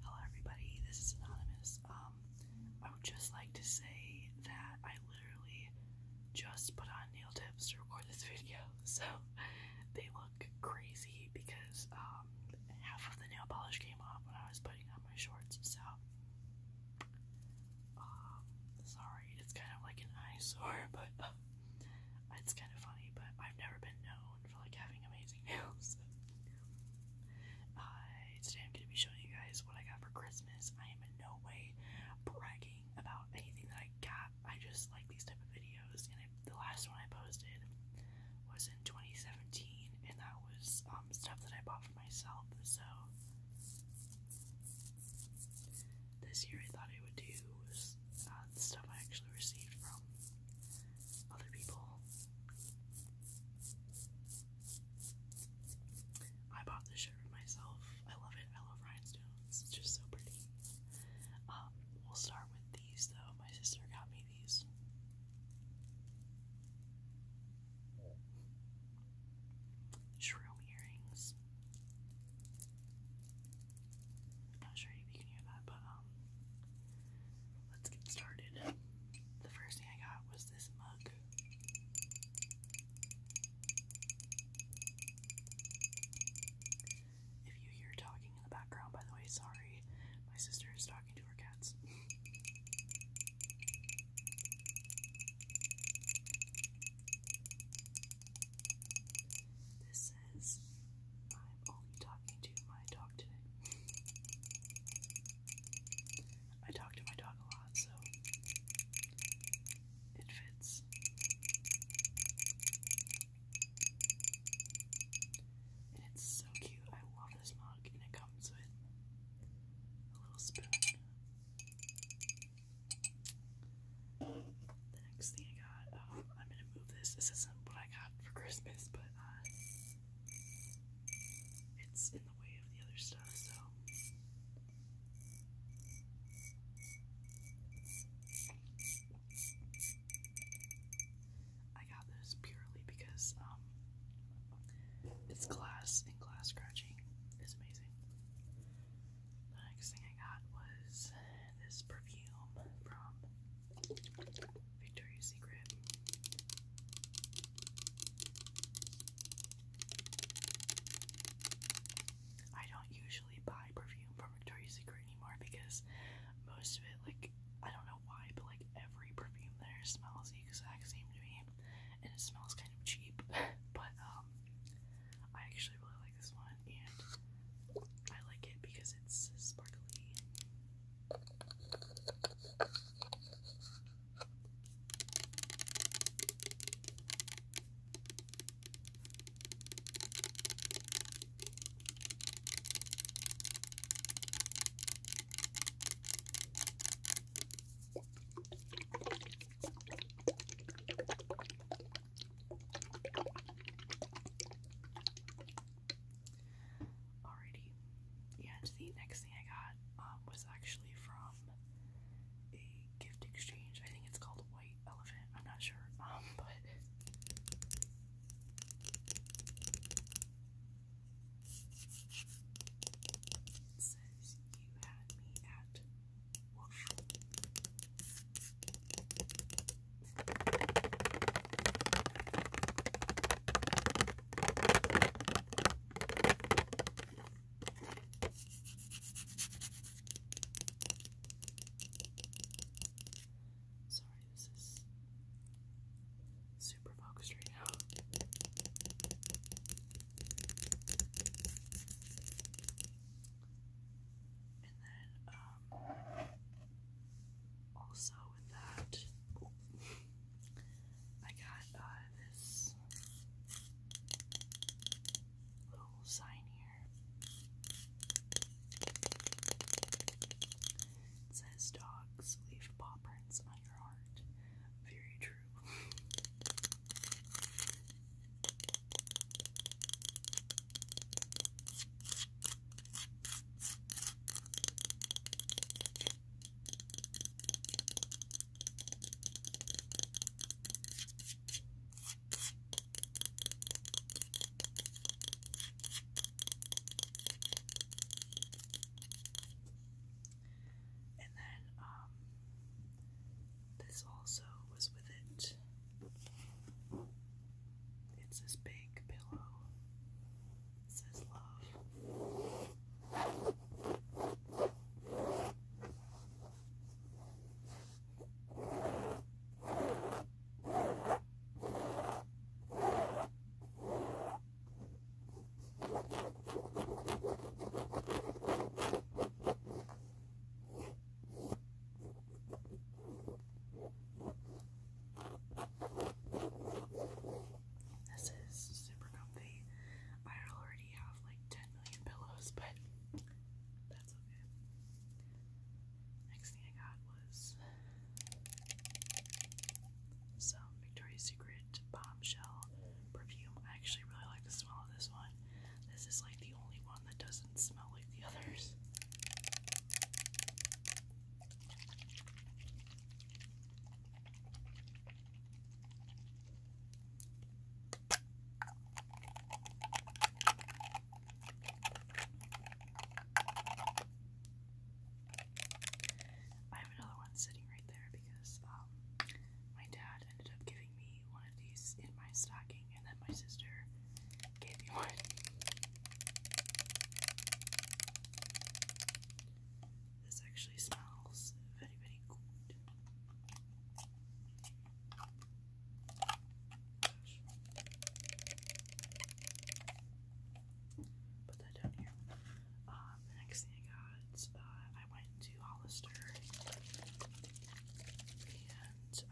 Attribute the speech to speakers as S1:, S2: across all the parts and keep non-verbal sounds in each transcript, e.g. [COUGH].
S1: Hello, everybody. This is Anonymous. Um, I would just like to say that I literally just put on nail tips to record this [LAUGHS] video, so they look crazy because um, half of the nail polish came off when I was putting on my shorts. So, um, sorry, it's kind of like an eyesore, [LAUGHS] but uh, it's kind of funny. But I've never been known for like having amazing [LAUGHS] nails. Uh, today I'm gonna be showing you guys what I got for Christmas. I am in no way bragging about anything that I got. I just like these type of videos, and the last one I posted was in 2017, and that was um, stuff that I bought for myself. So this year I thought I would do uh, the stuff I actually received from other people. I bought this shirt for myself. I love it. I love rhinestones. It's just so pretty. Um, we'll start with these though. My sister got me these. Shroom earrings. Not sure if you can hear that, but um, let's get started. The first thing I got was this mug. If you hear talking in the background, by the way, sorry, my sister is talking to her cats. This I'm only talking to my dog today. I talk to my dog a lot, so it fits. it's so cute. I love this mug, and it comes with a little spoon. The next thing I got, um, I'm gonna move this. This isn't what I got for Christmas, but uh, it's in the way of the other stuff, so. I got this purely because um, it's glass and glass scratching is amazing. The next thing I got was this perfume from Victoria's Secret. I don't usually buy perfume from Victoria's Secret anymore because most of it, like, I don't know why, but like every perfume there smells the exact same to me, and it smells kind of cheap. [LAUGHS] but um, I actually really like this one, and I like it because it's sparkly. Alrighty. And the next thing I got um, was actually from a gift exchange. I think it's called White Elephant. I'm not sure. [LAUGHS] Um, but says you had me at Sorry, this is super focused right now. And then, uh, also with that, I got uh, this little sign here. says, "Dogs leave paw prints on your heart." Very true. [LAUGHS] And then um this also was with it. It's this big pillow. It says love. This is super comfy. I already have like 10 million pillows, but that's okay. Next thing I got was some Victoria's Secret bombshell perfume. I actually really like the smell of this one. This is like the only one that doesn't smell like the others. I have another one sitting right there because um, my dad ended up giving me one of these in my stocking, and then my sister gave me one. This actually smells very, very good. Put that down here. Um, next thing I got, uh, I went to Hollister and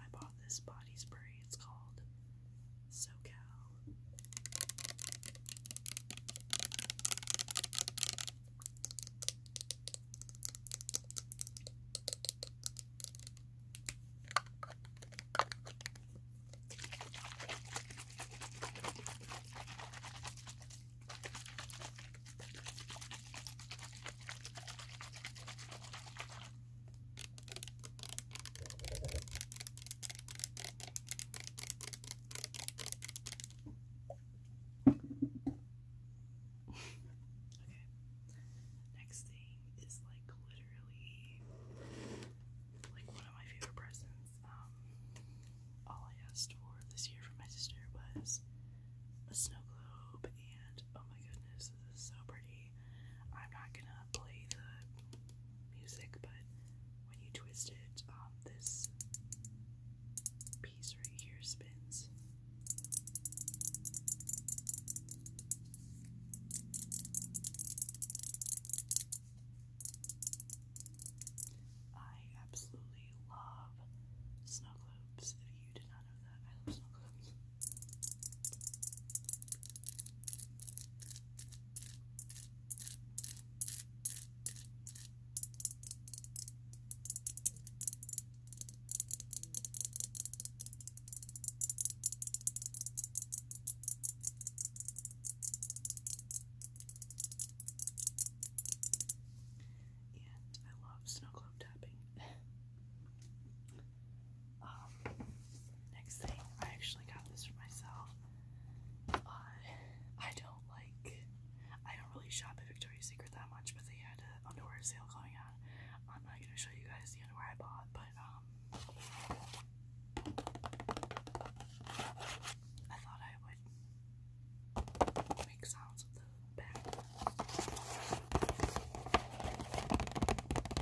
S1: I bought this body spray. It's called SoCal. Okay. Next thing is like literally like one of my favorite presents. Um all I asked for this year from my sister was a snow globe and oh my goodness, this is so pretty. I'm not gonna play the music, but when you twist it, um, this piece right here spins. I absolutely love snow globes. If you did not know that, I love snow globes. And I love snow globe tapping. [LAUGHS] Um, next thing, I actually got this for myself. I don't like, I don't really shop at Victoria's Secret that much, but they had an underwear sale going on. I'm not gonna show you guys the underwear I bought, but um, I thought I would make sounds with the bag.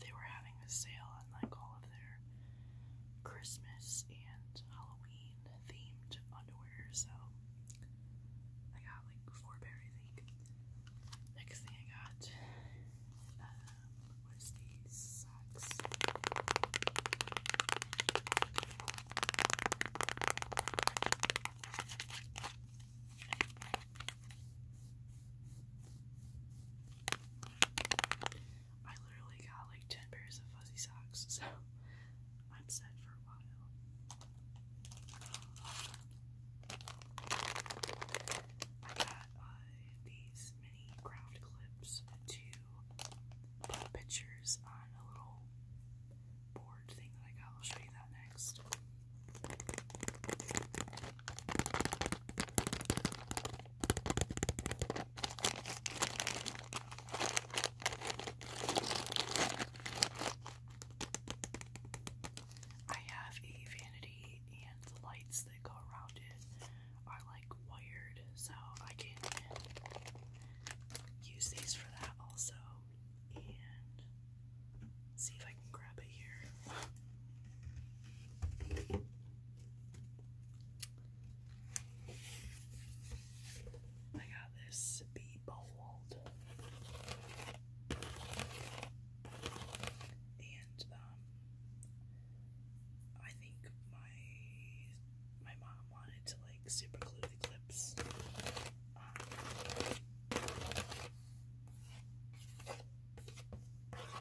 S1: they were having a sale on like all of their Christmas and Halloween themed underwear, so I got like four pair, I think. Next thing I got um, was these socks. I literally got like 10 pairs of fuzzy socks, [LAUGHS] so I'm set for a while. I got uh, these mini craft clips to put pictures on a little board thing that I got. I'll show you that next. I have a vanity and the lights that go around it are like wired so I can use these for that also and see if grab it here. I got this Be Bold. And um, I think my my mom wanted to like super glue the clips. Um,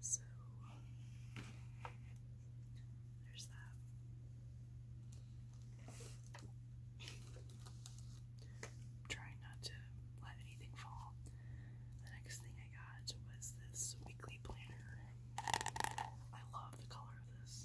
S1: So there's that. trying not to let anything fall. The next thing I got was this weekly planner. I love the color of this.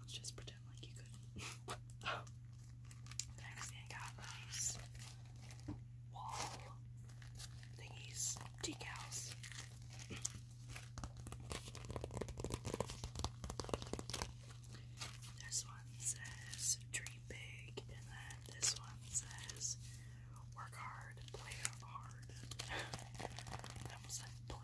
S1: let's just pretend like you couldn't. [LAUGHS] next thing I got these wall thingies, decals. This one says dream big, and then this one says Work hard, play hard. I almost said play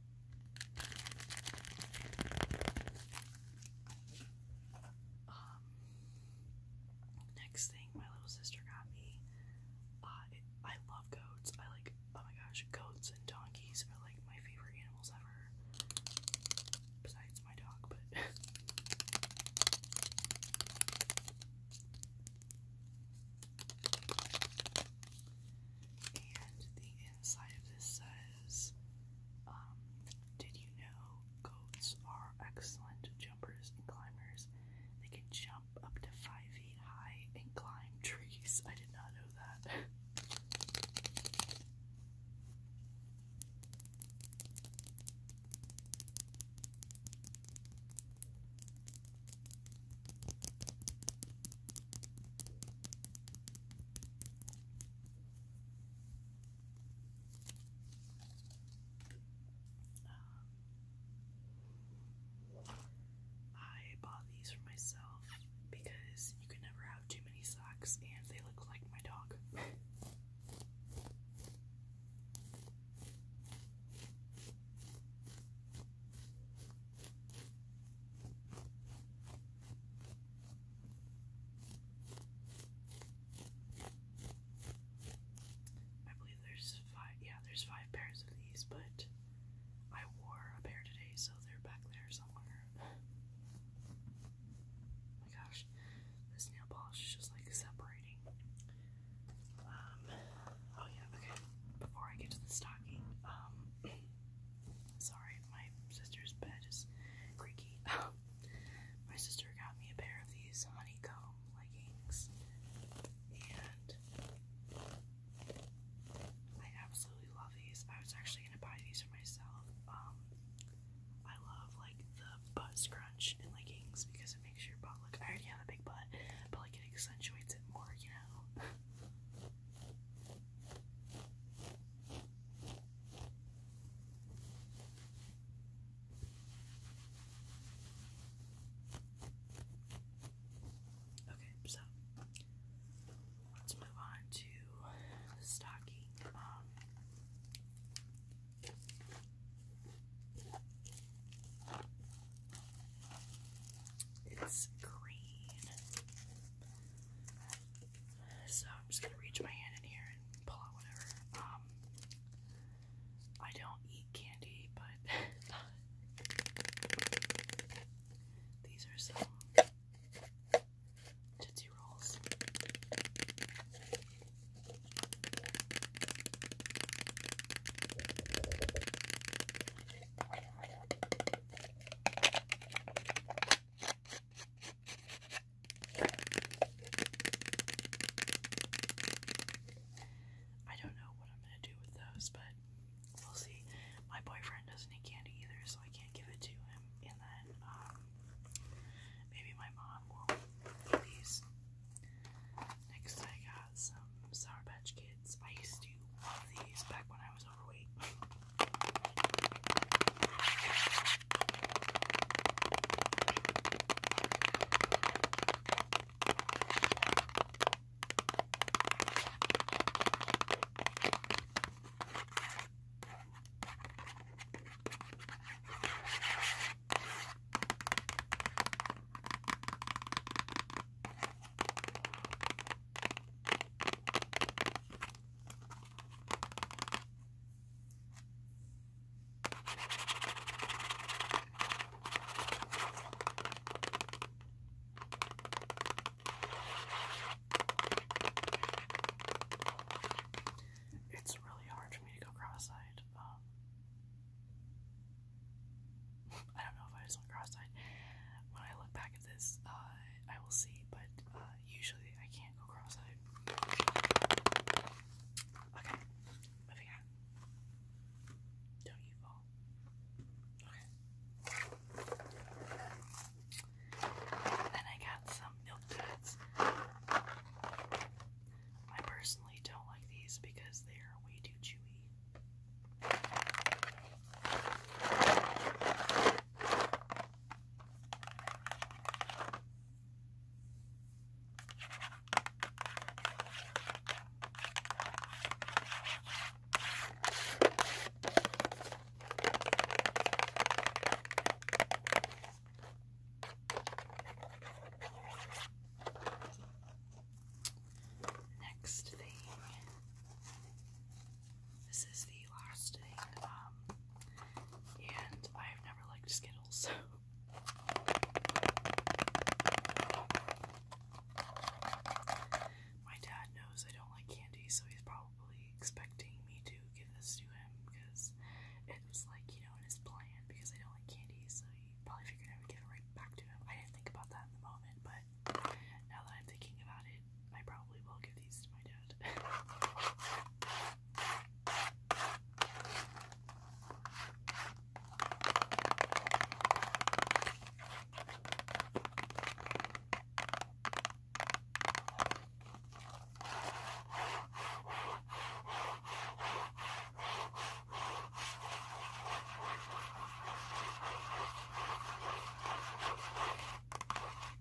S1: um, next thing my little sister got me. Uh, I love goats. I like, oh my gosh, goats and donkeys are like my favorite animals ever. Besides my dog, but. [LAUGHS] and the inside of this says. Um, did you know goats are excellent jumpers and climbers? They can jump up to five feet high and climb trees. I did not know that. I bought these for myself because you can never have too many socks and they look like my dog. I believe there's five, yeah, there's five pairs of these, but I wore a pair today, so they're back there somewhere. [LAUGHS] oh my gosh, this nail polish is just like separating. Um, oh yeah, okay, before I get to the stocking, um, [CLEARS THROAT] Sorry, my sister's bed is creaky. [LAUGHS] my sister got me a pair of these honeycomb leggings, and I absolutely love these. I was actually gonna buy these for myself. Um, I love like the butt scrunch leggings because it makes your butt look. I already have a big butt, but like it accentuates it more, you know. [LAUGHS] Okay, so let's move on to stocking. Um, it's green. So I'm just gonna reach my hand in here and pull out whatever. Um, I don't eat candy, but [LAUGHS] these are some Tootsie Rolls. I don't know what I'm gonna do with those, but we'll see. My boyfriend doesn't eat candy either, so I can't give it to him. And then um, maybe my mom will eat these. Next, I got some Sour Patch Kids. I used to love these back when I was over overweight. It's really hard for me to go cross-eyed. Um, [LAUGHS] I don't know if I just cross-eyed. When I look back this, uh, I will see, but uh, usually I can't go cross eyed. Okay, moving on. Don't you fall. Okay. Then I got some milk duds. I personally don't like these because they are way too chewy. Next thing this is the last thing, um, and I've never liked Skittles, so. My dad knows I don't like candy, so he's probably expecting me to give this to him because it was like, you know, in his plan because I don't like candy, so he probably figured I would give it right back to him. I didn't think about that in the moment, but now that I'm thinking about it, I probably will give these to my dad.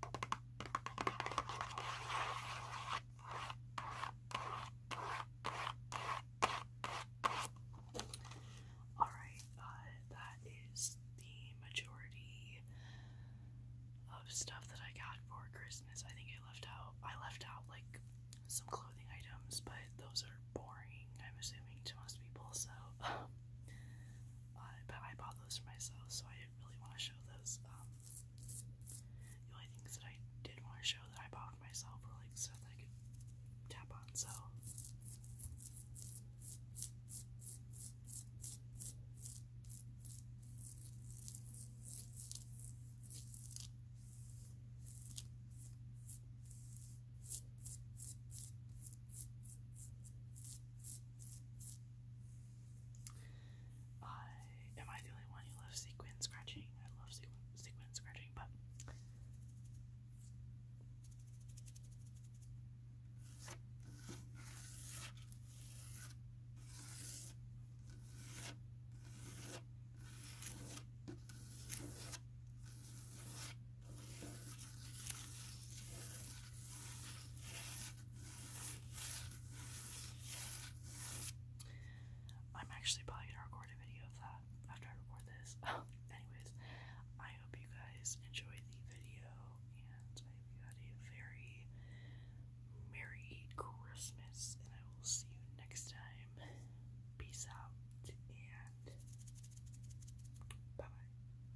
S1: Alright, uh, that is the majority of stuff that I got for Christmas. I think I left out, I left out like some clothing items, but those are boring, I'm assuming, to most people, so, [LAUGHS] uh, but I bought those for myself, so I didn't really want to show those. Um, the only things that I did want to show that I bought for myself were like stuff that I could tap on, so. I am I the only one who loves sequin scratching? I love sequin, sequin scratching, but I'm actually probably gonna record a video of that after I record this. [LAUGHS] Anyways, I hope you guys enjoyed the video, and I hope you had a very merry Christmas, and I will see you next time. Peace out, and bye bye.